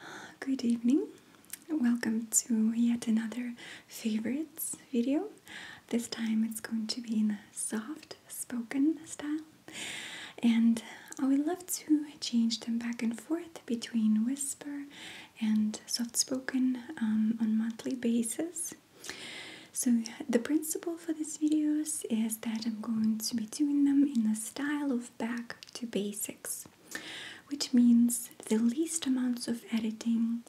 Good evening. Welcome to yet another favorites video. This time it's going to be in a soft spoken style. And I would love to change them back and forth between whisper and soft spoken um, on monthly basis. So the principle for these videos is that I'm going to be doing them in the style of back to basics, which means the least amounts of editing,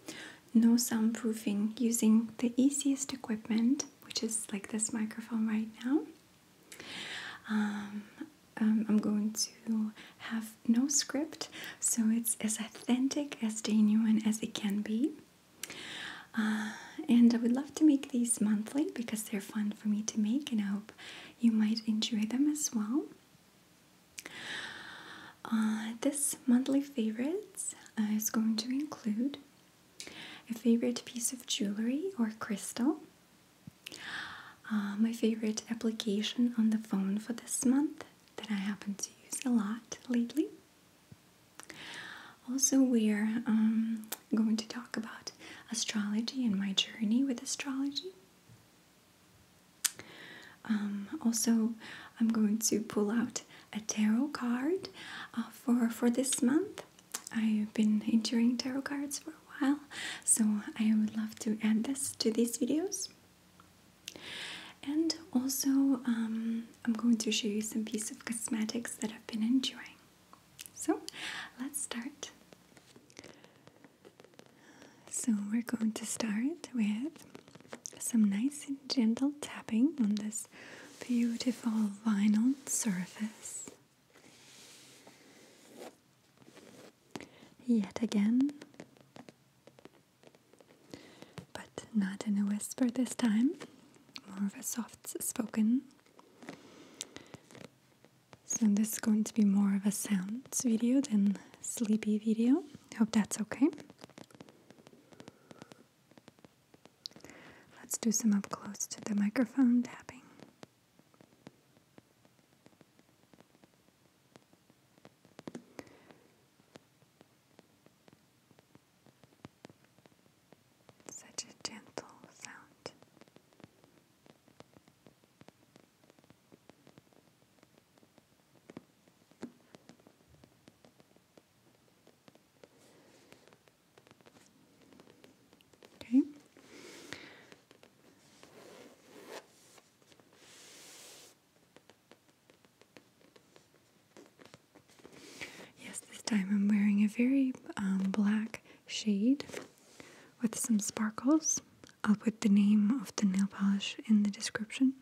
no soundproofing, using the easiest equipment, which is like this microphone right now. Um, um, I'm going to have no script, so it's as authentic as genuine as it can be. Uh, and I would love to make these monthly because they're fun for me to make, and I hope you might enjoy them as well. Uh, this monthly favorites uh, is going to include a favorite piece of jewelry or crystal, uh, my favorite application on the phone for this month that I happen to use a lot lately. Also, we're um, I'm going to talk about astrology and my journey with astrology. Um, also, I'm going to pull out a tarot card uh, for for this month. I've been enjoying tarot cards for a while, so I would love to add this to these videos. And also, um, I'm going to show you some pieces of cosmetics that I've been enjoying. So, let's start. So we're going to start with some nice and gentle tapping on this beautiful vinyl surface. Yet again, but not in a whisper this time, more of a soft spoken so this is going to be more of a sounds video than sleepy video. Hope that's okay. Let's do some up close to the microphone tapping. Such a gentle sound. Okay. Yes, this time I'm wearing a very um, black shade with some sparkles. I'll put the name of the nail polish in the description.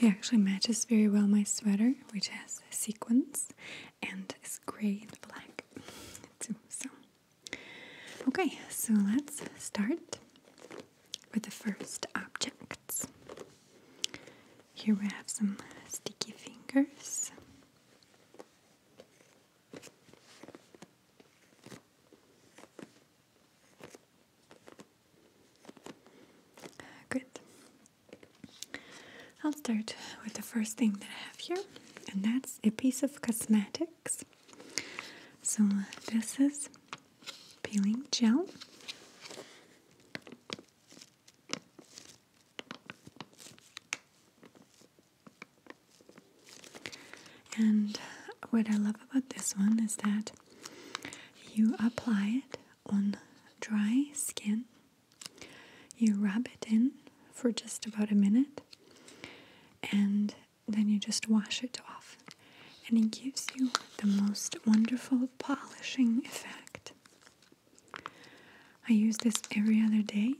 It actually matches very well my sweater, which has sequins and is gray and black too. So, okay, so let's start with the first objects. Here we have some sticky fingers. Uh, Good. I'll start with the first thing that I have here, and that's a piece of cosmetics. So, this is peeling gel. And what I love about this one is that you apply it on dry skin, you rub it in for just about a minute, and then you just wash it off. And it gives you the most wonderful polishing effect. I use this every other day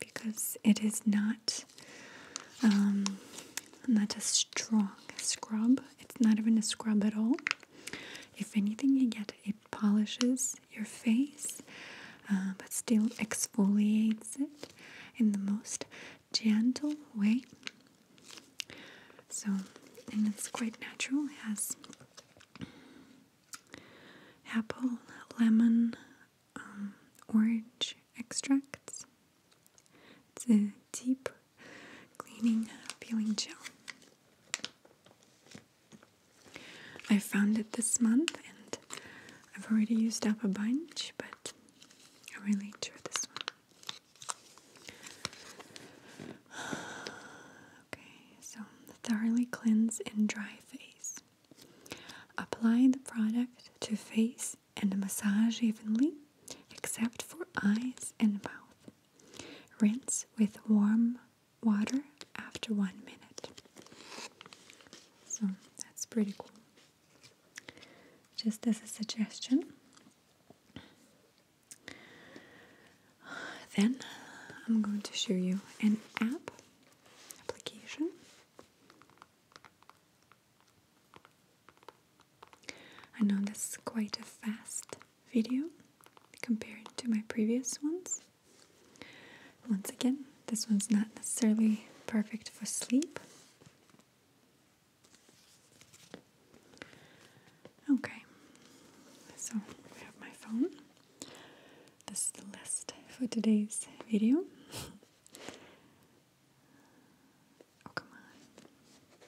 because it is not um, not a strong scrub. It's not even a scrub at all. If anything, you get it polishes your face, uh, but still exfoliates it in the most gentle way. So, and it's quite natural. It has apple, lemon, um, orange extracts. It's a deep cleaning peeling gel. I found it this month and I've already used up a bunch, but I really enjoy this one. okay, so thoroughly cleanse and dry face. Apply the product to face and massage evenly, except for eyes and mouth. Rinse with warm water after one minute. So that's pretty cool. Just as a suggestion. Then I'm going to show you an app application I know this is quite a fast video compared to my previous ones. Once again, this one's not necessarily perfect for sleep. Okay, so I have my phone. This is the list for today's video. oh, come on.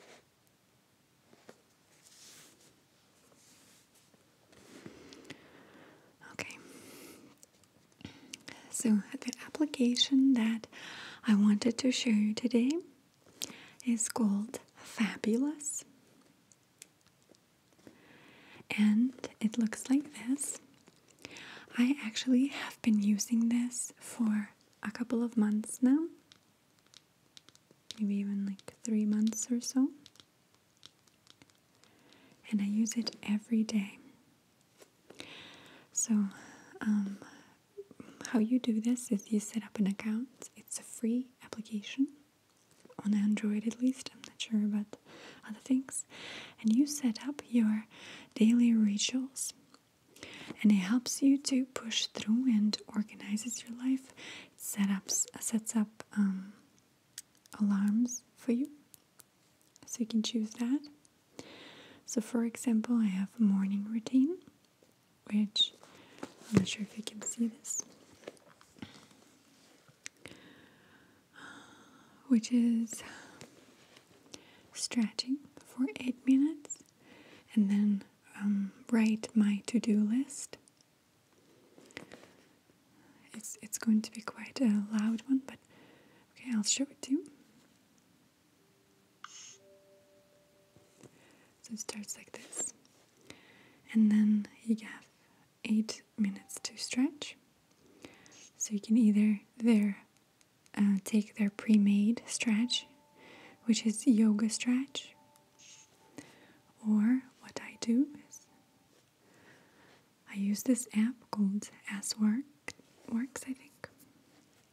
Okay. So, the application that I wanted to show you today is called Fabulous. And it looks like this. I actually have been using this for a couple of months now. Maybe even like three months or so. And I use it every day. So, um, how you do this is you set up an account. It's a free application on Android, at least. I'm not sure about other things. And you set up your daily rituals. And it helps you to push through and organizes your life. It sets up um, alarms for you. So you can choose that. So, for example, I have a morning routine, which I'm not sure if you can see this which is stretching for eight minutes and then um, write my to-do list it's it's going to be quite a loud one but okay I'll show it to you so it starts like this and then you have eight minutes to stretch. So you can either there uh, take their pre-made stretch, which is yoga stretch, or what I do is I use this app called As Work Works, I think,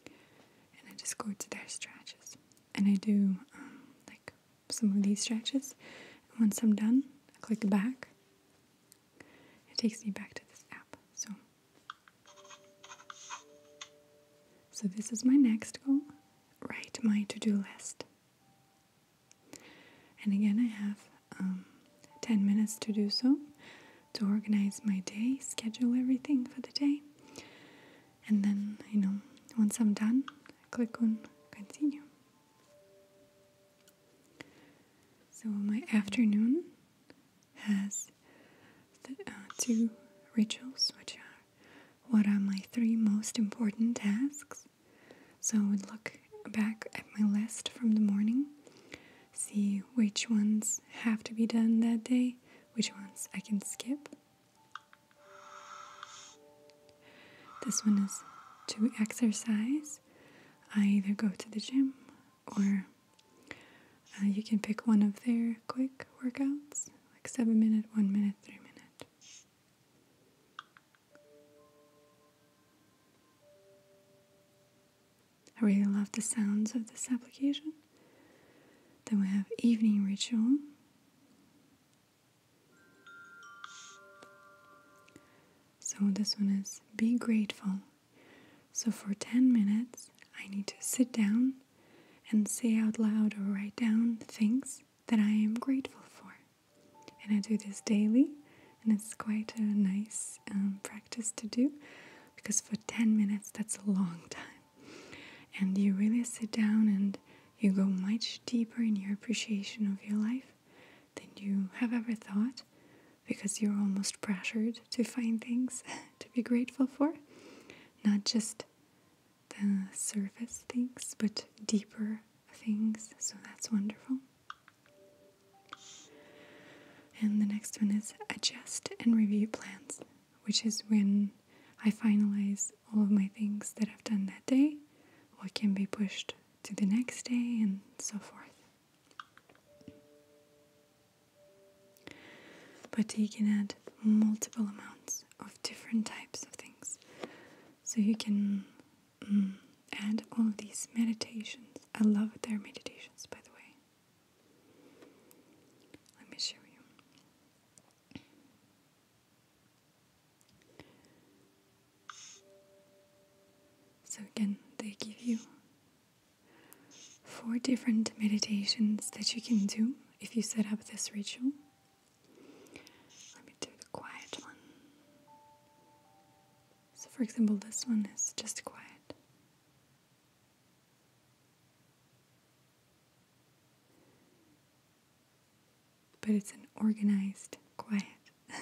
and I just go to their stretches and I do um, like some of these stretches. And once I'm done, I click back it takes me back to this app. So, so this is my next goal. Write my to-do list. And again, I have um, 10 minutes to do so, to organize my day, schedule everything for the day. And then, you know, once I'm done, click on continue. So my afternoon has the, uh, two rituals, which are what are my three most important tasks. So I would look back at my list from the morning, see which ones have to be done that day, which ones I can skip. This one is to exercise. I either go to the gym or uh, you can pick one of their quick workouts, like seven minute, one minute, three minute. I really love the sounds of this application. Then we have evening ritual. So this one is be grateful. So for 10 minutes, I need to sit down and say out loud or write down things that I am grateful for. And I do this daily, and it's quite a nice um, practice to do because for 10 minutes, that's a long time. And you really sit down and you go much deeper in your appreciation of your life than you have ever thought because you're almost pressured to find things to be grateful for. Not just the surface things, but deeper things. So that's wonderful. And the next one is adjust and review plans, which is when I finalize all of my things that I've done that day, what can be pushed to the next day, and so forth. But you can add multiple amounts of different types of things. So you can mm, add all these meditations. I love their meditations, by the way. Let me show you. So, again, they give you four different meditations that you can do if you set up this ritual. Let me do the quiet one. So, for example, this one is just quiet. But it's an organized quiet.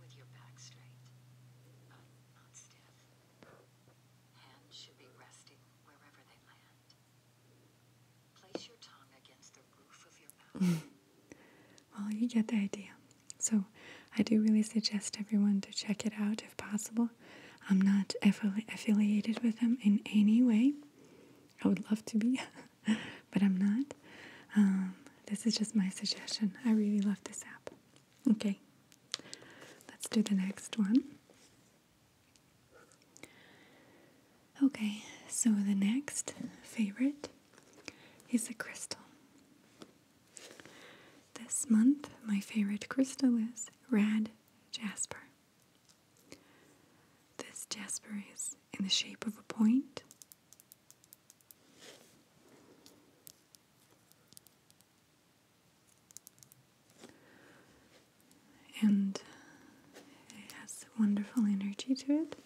with your back straight, but not stiff. Hands should be resting wherever they land. well, you get the idea. So, I do really suggest everyone to check it out if possible. I'm not affili affiliated with them in any way. I would love to be. but I'm not. Um, this is just my suggestion. I really love this app. Okay, let's do the next one. Okay, so the next favorite is a crystal. This month, my favorite crystal is Rad Jasper. This Jasper is in the shape of a And it has wonderful energy to it.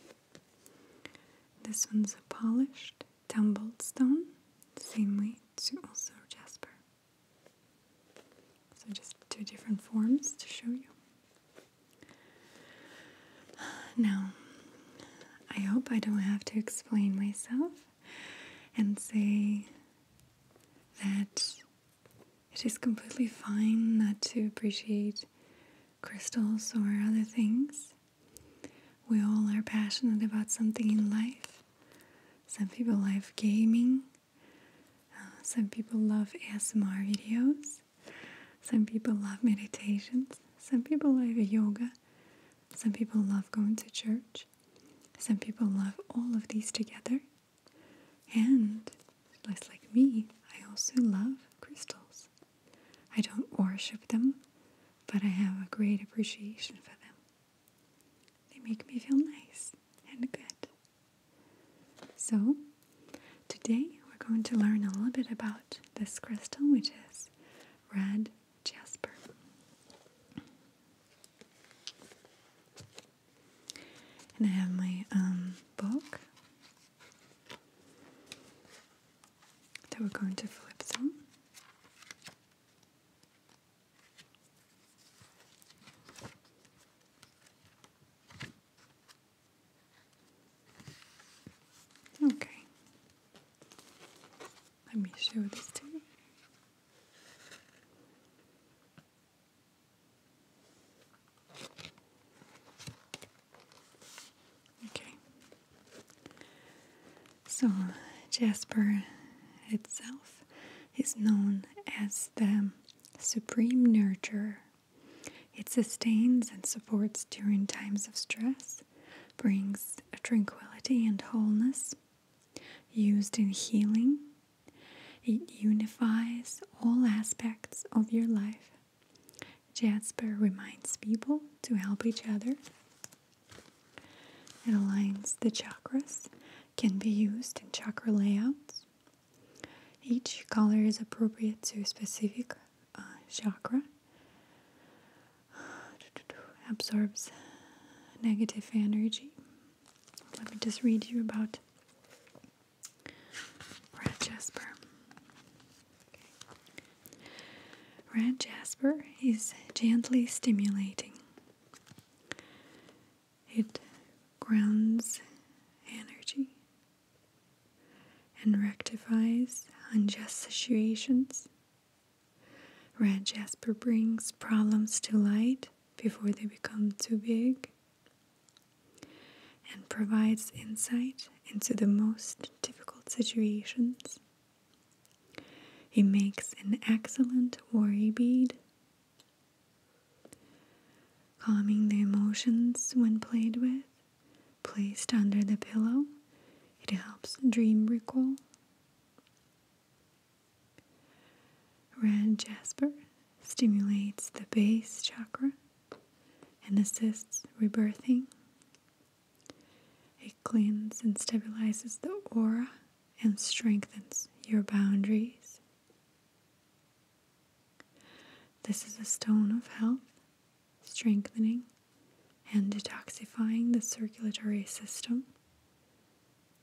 This one's a polished tumbled stone, same weight to also jasper. So just two different forms to show you. Now, I hope I don't have to explain myself and say that it is completely fine not to appreciate crystals or other things. We all are passionate about something in life. Some people love gaming, uh, some people love ASMR videos. Some people love meditations, some people love yoga, some people love going to church, some people love all of these together. And, just like me, I also love crystals. I don't worship them, but I have a great appreciation for them. They make me feel nice and good. So, today we're going to learn a little bit about this crystal, which is red jasper. And I have my um, book that we're going to flip through. Okay. Let me show this to you. Okay. So, Jasper itself is known as the supreme nurturer it sustains and supports during times of stress, brings a tranquility and wholeness, used in healing. It unifies all aspects of your life. Jasper reminds people to help each other. It aligns the chakras, can be used in chakra layouts, each color is appropriate to a specific uh, chakra. Absorbs negative energy. Let me just read you about red jasper. Red jasper is gently stimulating. It grounds energy and rectifies unjust situations. Red jasper brings problems to light before they become too big and provides insight into the most difficult situations. He makes an excellent worry bead Calming the emotions when played with, placed under the pillow, it helps dream recall. Red jasper stimulates the base chakra and assists rebirthing. It cleans and stabilizes the aura and strengthens your boundaries. This is a stone of health, strengthening, and detoxifying the circulatory system,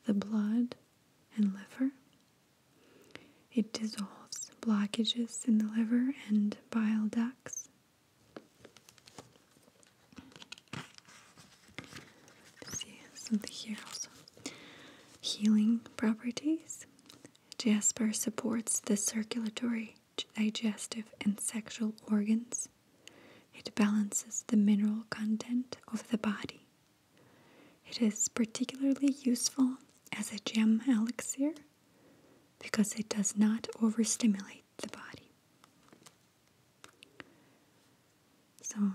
the blood, and liver. It dissolves blockages in the liver and bile ducts. see something here also. Healing properties. Jasper supports the circulatory, digestive, and sexual organs. It balances the mineral content of the body. It is particularly useful as a gem elixir because it does not overstimulate the body. So,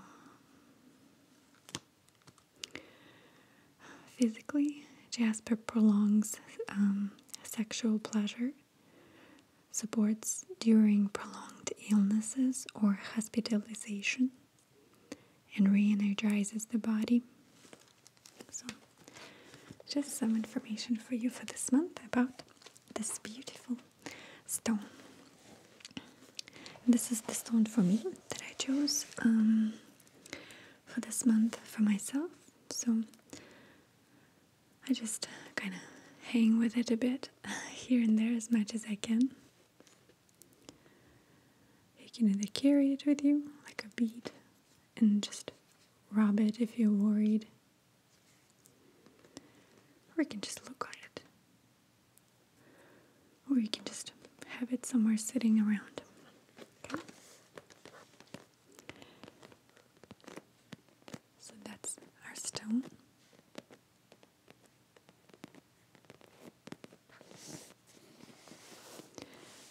Physically, jasper prolongs um, sexual pleasure, supports during prolonged illnesses or hospitalization, and re energizes the body. So, just some information for you for this month about this beautiful stone. This is the stone for me that I chose. Um, for this month for myself. So I just uh, kind of hang with it a bit here and there as much as I can. You can either carry it with you like a bead and just rub it if you're worried, or you can just look at it, or you can just have it somewhere sitting around. So that's our stone.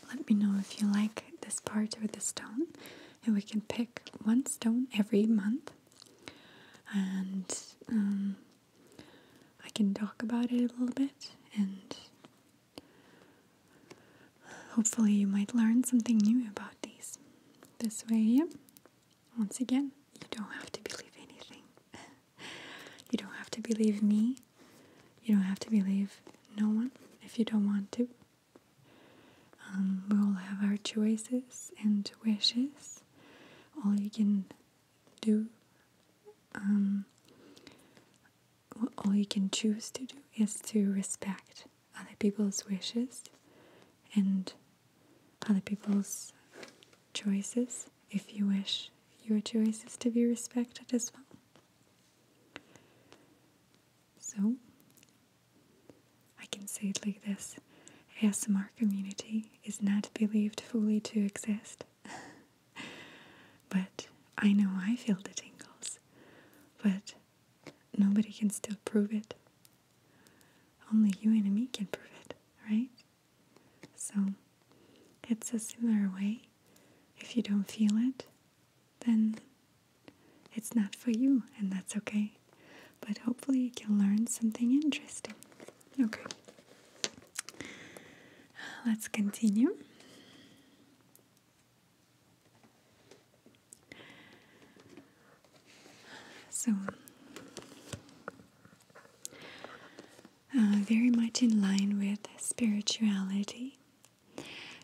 Let me know if you like this part or the stone, and we can pick one stone every month, and um, I can talk about it a little bit and Hopefully, you might learn something new about these. This way, once again, you don't have to believe anything. you don't have to believe me. You don't have to believe no one if you don't want to. Um, we all have our choices and wishes. All you can do um, all you can choose to do is to respect other people's wishes and other people's choices if you wish your choices to be respected as well. So, I can say it like this ASMR community is not believed fully to exist but I know I feel the tingles, but nobody can still prove it. Only you and me can prove it, right? So it's a similar way. If you don't feel it, then it's not for you, and that's okay. But hopefully, you can learn something interesting. Okay, let's continue. So, uh, very much in line with spirituality.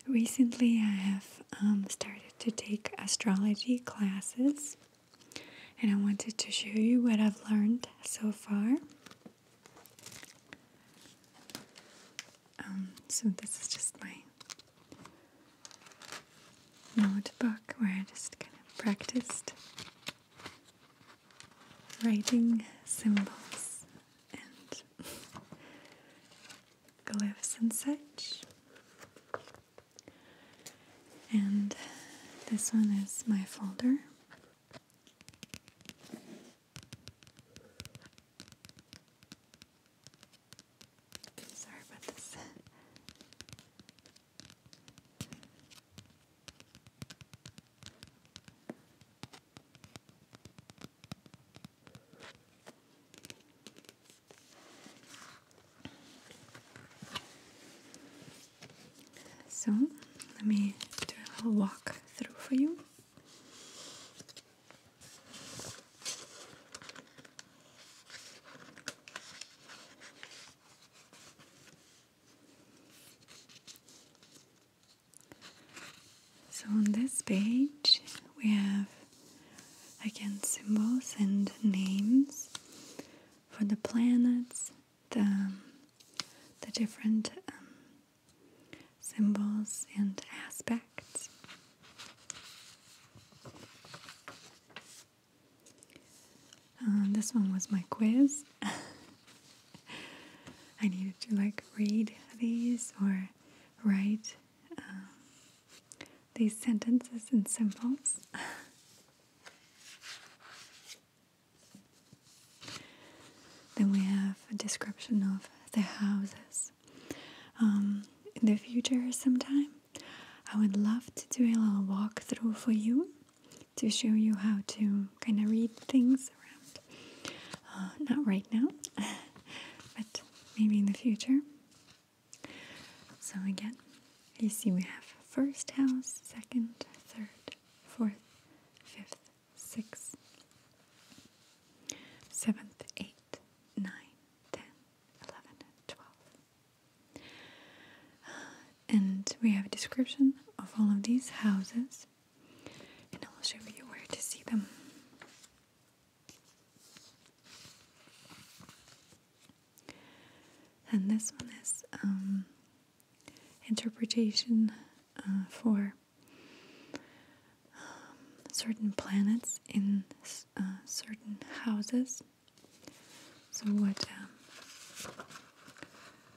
Recently, I have um, started to take astrology classes, and I wanted to show you what I've learned so far. Um, so this is just my notebook where I just kind of practiced writing symbols and glyphs and such. And this one is my folder sorry about this. So let me do a little walk through for you. So on this page we have again symbols and names for the planets, the, the different um, symbols and aspects. Uh, this one was my quiz. I needed to like read these or write um, these sentences and symbols. Then we have a description of the houses. Um, in the future, sometime, I would love to do a little walkthrough for you to show you how to kind of read things around. Uh, not right now, but maybe in the future. So, again, you see we have first house, second, third, fourth, fifth, six, seventh, eight, nine, ten, eleven, uh, and we have a description of all of these houses, and I will show you where to see them. And this one is um, interpretation uh, for um, certain planets in uh, certain houses. So, what um,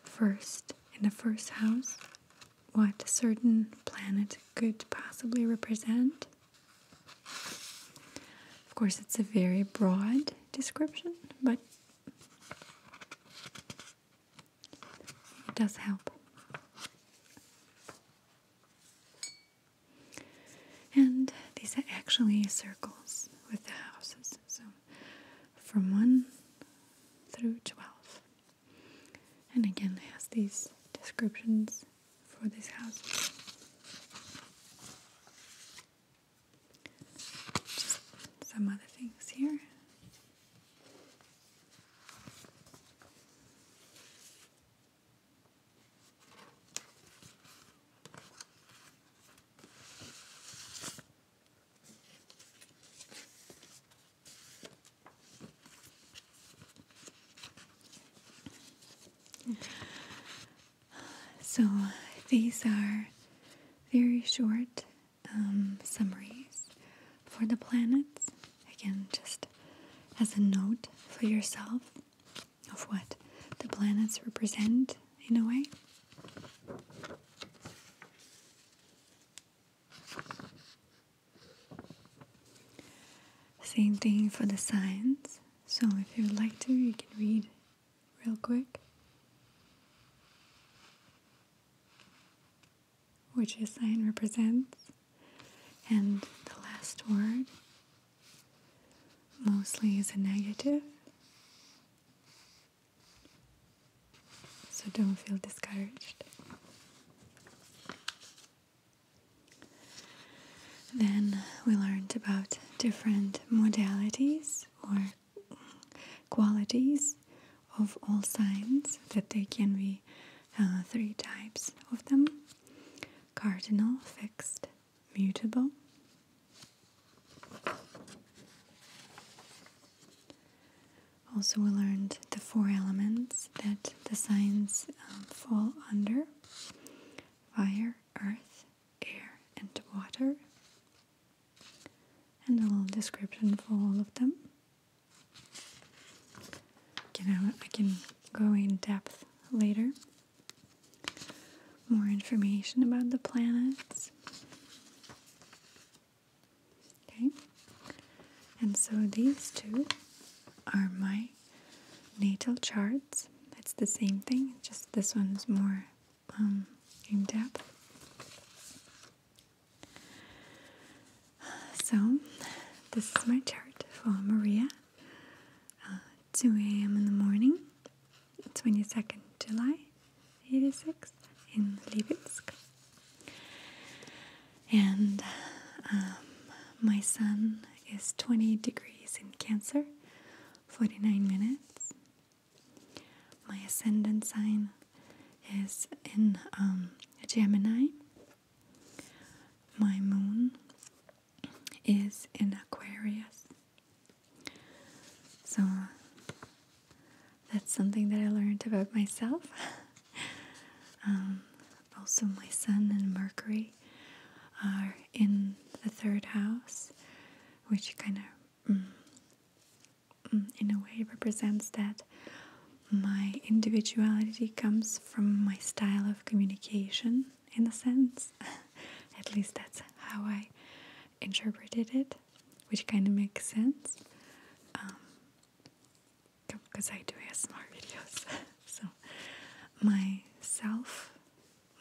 first, in the first house, what certain planet could possibly represent? Of course, it's a very broad description, but it does help. And these are actually circles with the houses. So from 1 through 12. And again, it has these descriptions for these houses. some other things here. So, these are very short um, summaries for the planets. Again, just as a note for yourself of what the planets represent in a way. Same thing for the signs. So if you would like to, you can read real quick which his sign represents. And the last word mostly is a negative. So don't feel discouraged. Then we learned about different modalities or qualities of all signs that they can be uh, three types of them cardinal, fixed, mutable. Also, we learned the four elements that the signs um, fall under fire, earth, air, and water, and a little description for all of them. You know, I can go in depth later. More information about the planets. Okay, and so these two are my natal charts. It's the same thing, just this one is more um, in depth. So, this is my chart for Maria. Uh, 2 a.m. in the morning, 22nd July 86 in Lipetsk. And um, my sun is 20 degrees in Cancer, 49 minutes. My ascendant sign is in um, Gemini, my moon is in Aquarius. So that's something that I learned about myself. Um, also, my Sun and Mercury are in the third house, which kind of, mm, mm, in a way, represents that my individuality comes from my style of communication, in a sense. At least that's how I interpreted it, which kind of makes sense. Because um, I do ASMR videos. so, my self,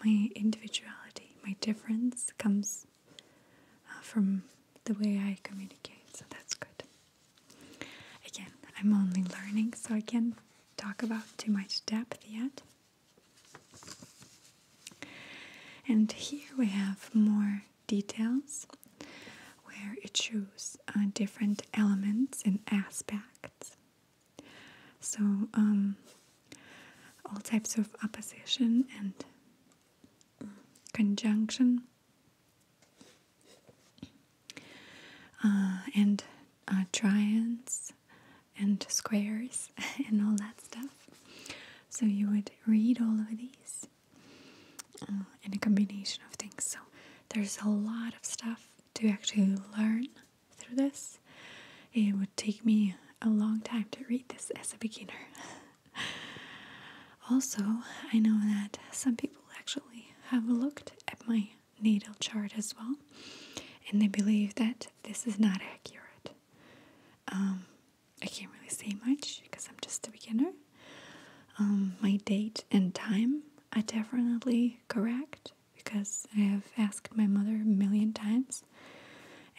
my individuality, my difference comes uh, from the way I communicate, so that's good. Again, I'm only learning, so I can't talk about too much depth yet. And here we have more details where it shows uh, different elements and aspects. So, um, all types of opposition and conjunction uh, and uh, triangles and squares and all that stuff. So you would read all of these uh, in a combination of things. So there's a lot of stuff to actually learn through this. It would take me a long time to read this as a beginner. Also, I know that some people actually have looked at my natal chart as well, and they believe that this is not accurate. Um, I can't really say much because I'm just a beginner. Um, my date and time are definitely correct because I have asked my mother a million times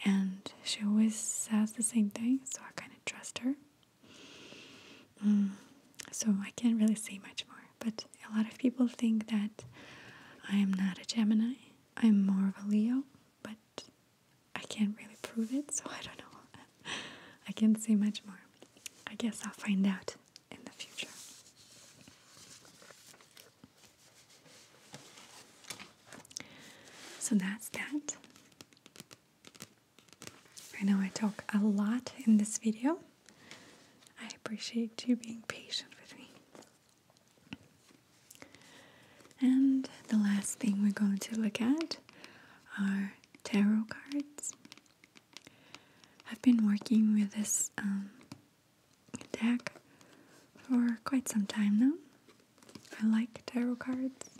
and she always says the same thing, so I kind of trust her. Mm. so I can't really say much more. But a lot of people think that I am not a Gemini. I'm more of a Leo, but I can't really prove it, so I don't know. I can't say much more. I guess I'll find out in the future. So that's that. I know I talk a lot in this video. I appreciate you being patient with me. And the last thing we're going to look at are tarot cards. I've been working with this um, deck for quite some time now. I like tarot cards.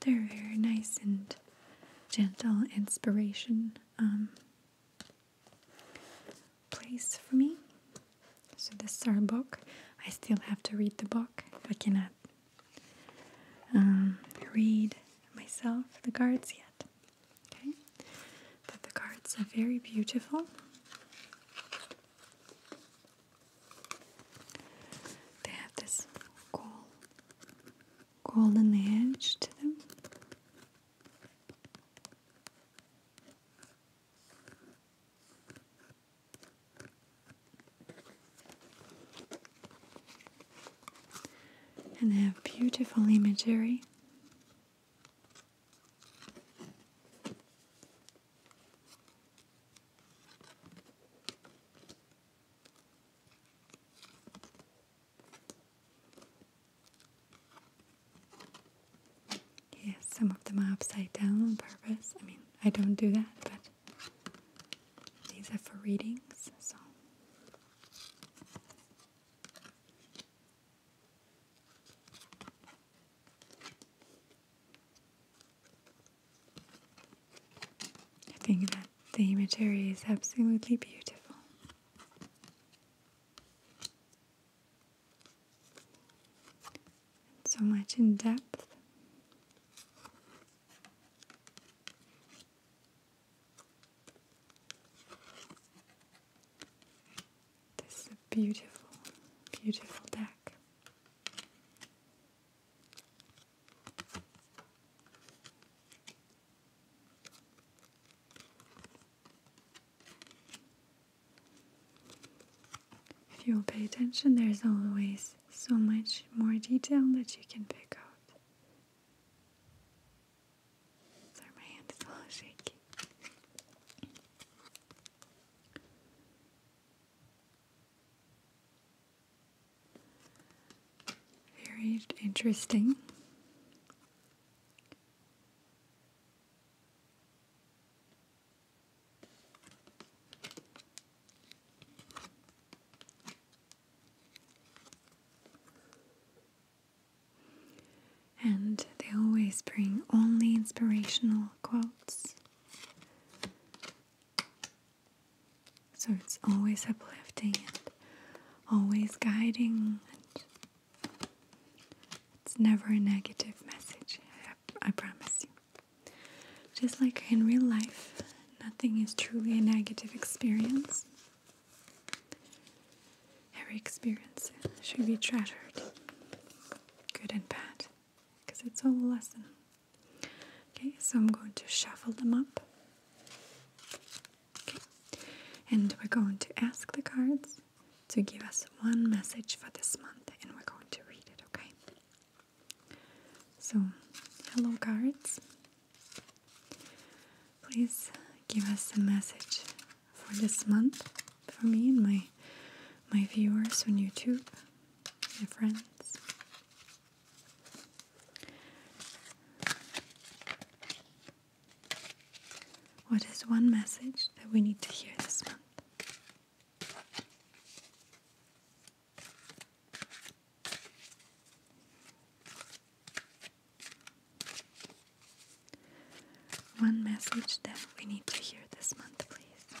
They're very nice and gentle inspiration um, place for me. So this is our book. I still have to read the book. I cannot um, read myself the cards yet. Okay, but the cards are very beautiful. They have this gold, golden edge to them. And they have beautiful imagery. Yes, some of them are upside down on purpose. I mean, I don't do that, but these are for readings, so. I think that the imagery is absolutely beautiful. so much in depth. This is a beautiful, beautiful deck. If you'll pay attention, there's always so much more detail that you can pick out. Sorry, my hand is a little shaky. Very interesting. And they always bring only inspirational quotes so it's always uplifting and always guiding, and it's never a negative message, I, promise you. Just like in real life, nothing is truly a negative experience. Every experience should be treasured, good and bad, because it's all a lesson. Okay, so I'm going to shuffle them up. and we're going to ask the cards to give us one message for this month and we're going to read it, okay? So, hello, cards. Please give us a message for this month for me and my my viewers on YouTube my friends. What is one message that we need to hear this month? One message that we need to hear this month, please.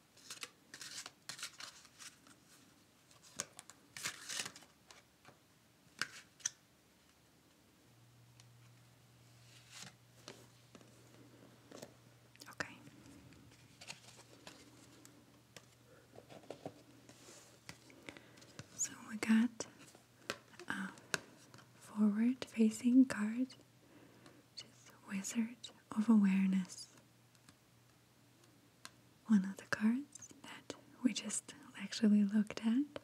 Okay. So we got uh, forward facing card, which is Wizard of Awareness one of the cards that we just actually looked at.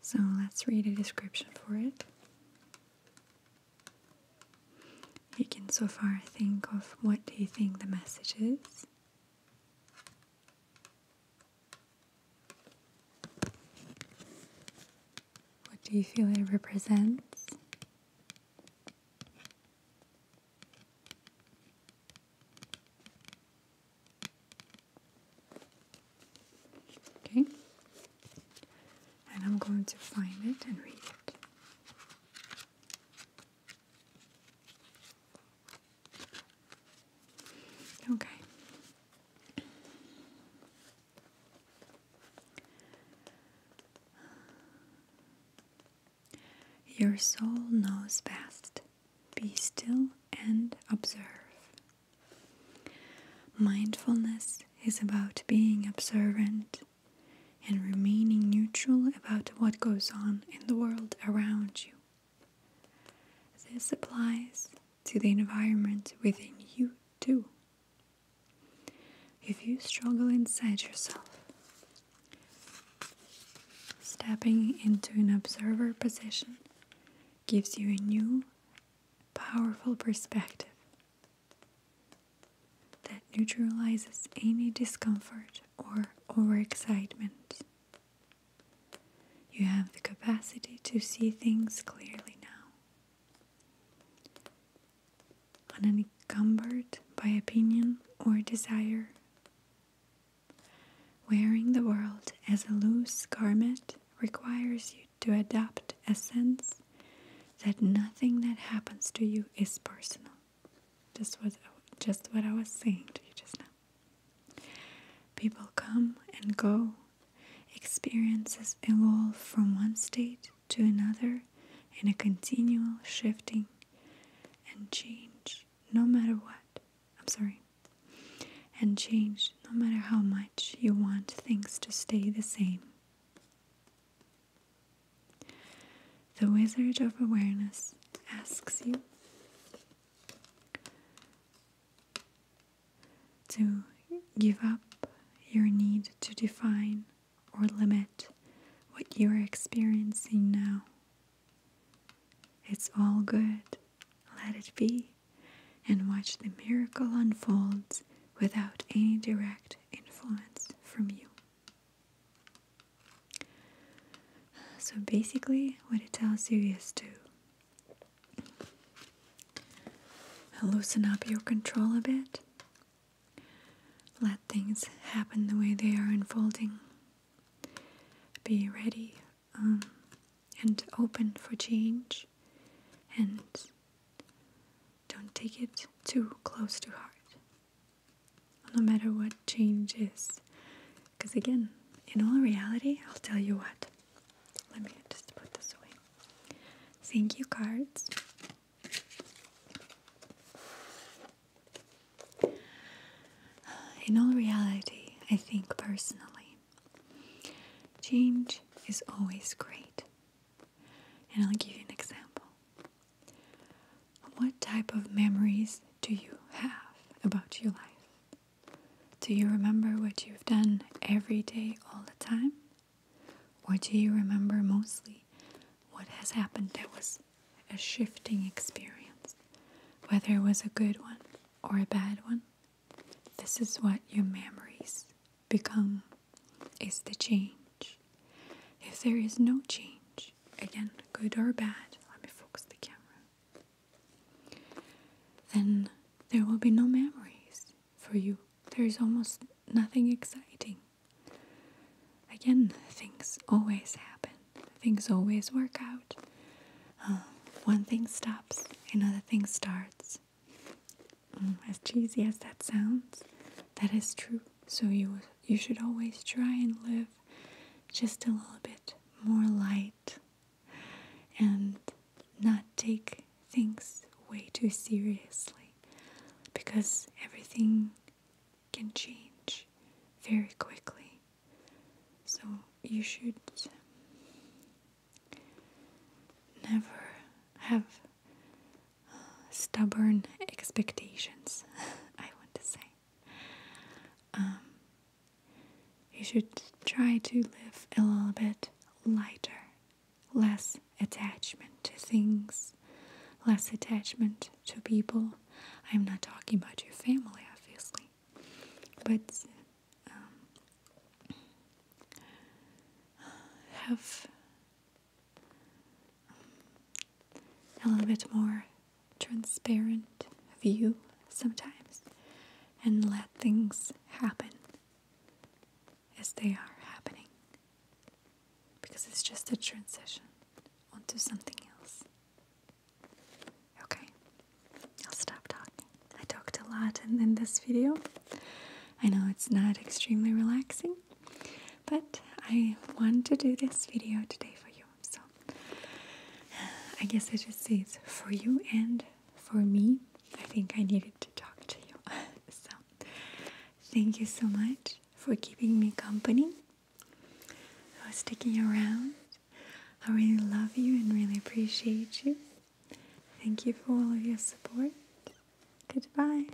So let's read a description for it. You can so far think of what do you think the message is. What do you feel it represents? Okay, and I'm going to find it and read it. Okay. Your soul knows best. Be still and observe. Mindfulness is about being observant and remaining neutral about what goes on in the world around you. This applies to the environment within you too. If you struggle inside yourself, stepping into an observer position gives you a new, powerful perspective that neutralizes any discomfort or overexcitement. You have the capacity to see things clearly now unencumbered by opinion or desire. Wearing the world as a loose garment requires you to adopt a sense that nothing that happens to you is personal. Just what, just what I was saying to you just now. People come and go, experiences evolve from one state to another in a continual shifting and change no matter what. I'm sorry. And change no matter how much you want things to stay the same. The Wizard of Awareness asks you to give up your need to define or limit what you are experiencing now. It's all good. Let it be and watch the miracle unfolds without any direct influence from you. So basically, what it tells you is to loosen up your control a bit let things happen the way they are unfolding. Be ready um, and open for change and don't take it too close to heart. No matter what change is. Because again, in all reality, I'll tell you what. Let me just put this away. Thank you cards. In all reality, I think personally, change is always great. And I'll give you an example. What type of memories do you have about your life? Do you remember what you've done every day, all the time? Or do you remember mostly what has happened that was a shifting experience, whether it was a good one or a bad one. This is what your memories become, is the change. If there is no change, again, good or bad, let me focus the camera, then there will be no memories for you. There is almost nothing exciting. Again, things always happen, things always work out. Um, one thing stops, another thing starts. Mm, as cheesy as that sounds, that is true. So you you should always try and live just a little bit more light and not take things way too seriously because everything can change very quickly. So you should never have uh, stubborn expectations, I want to say. Um, you should try to live a little bit lighter, less attachment to things less attachment to people. I'm not talking about your family, obviously, but um, have um, a little bit more transparent view sometimes and let things happen as they are happening because it's just a transition onto something else. Okay, I'll stop talking. I talked a lot in, in this video. I know it's not extremely relaxing, but I want to do this video today for you. So I guess I just say it's for you and for me. I think I needed to talk to you. so thank you so much for keeping me company for sticking around. I really love you and really appreciate you. Thank you for all of your support. Goodbye.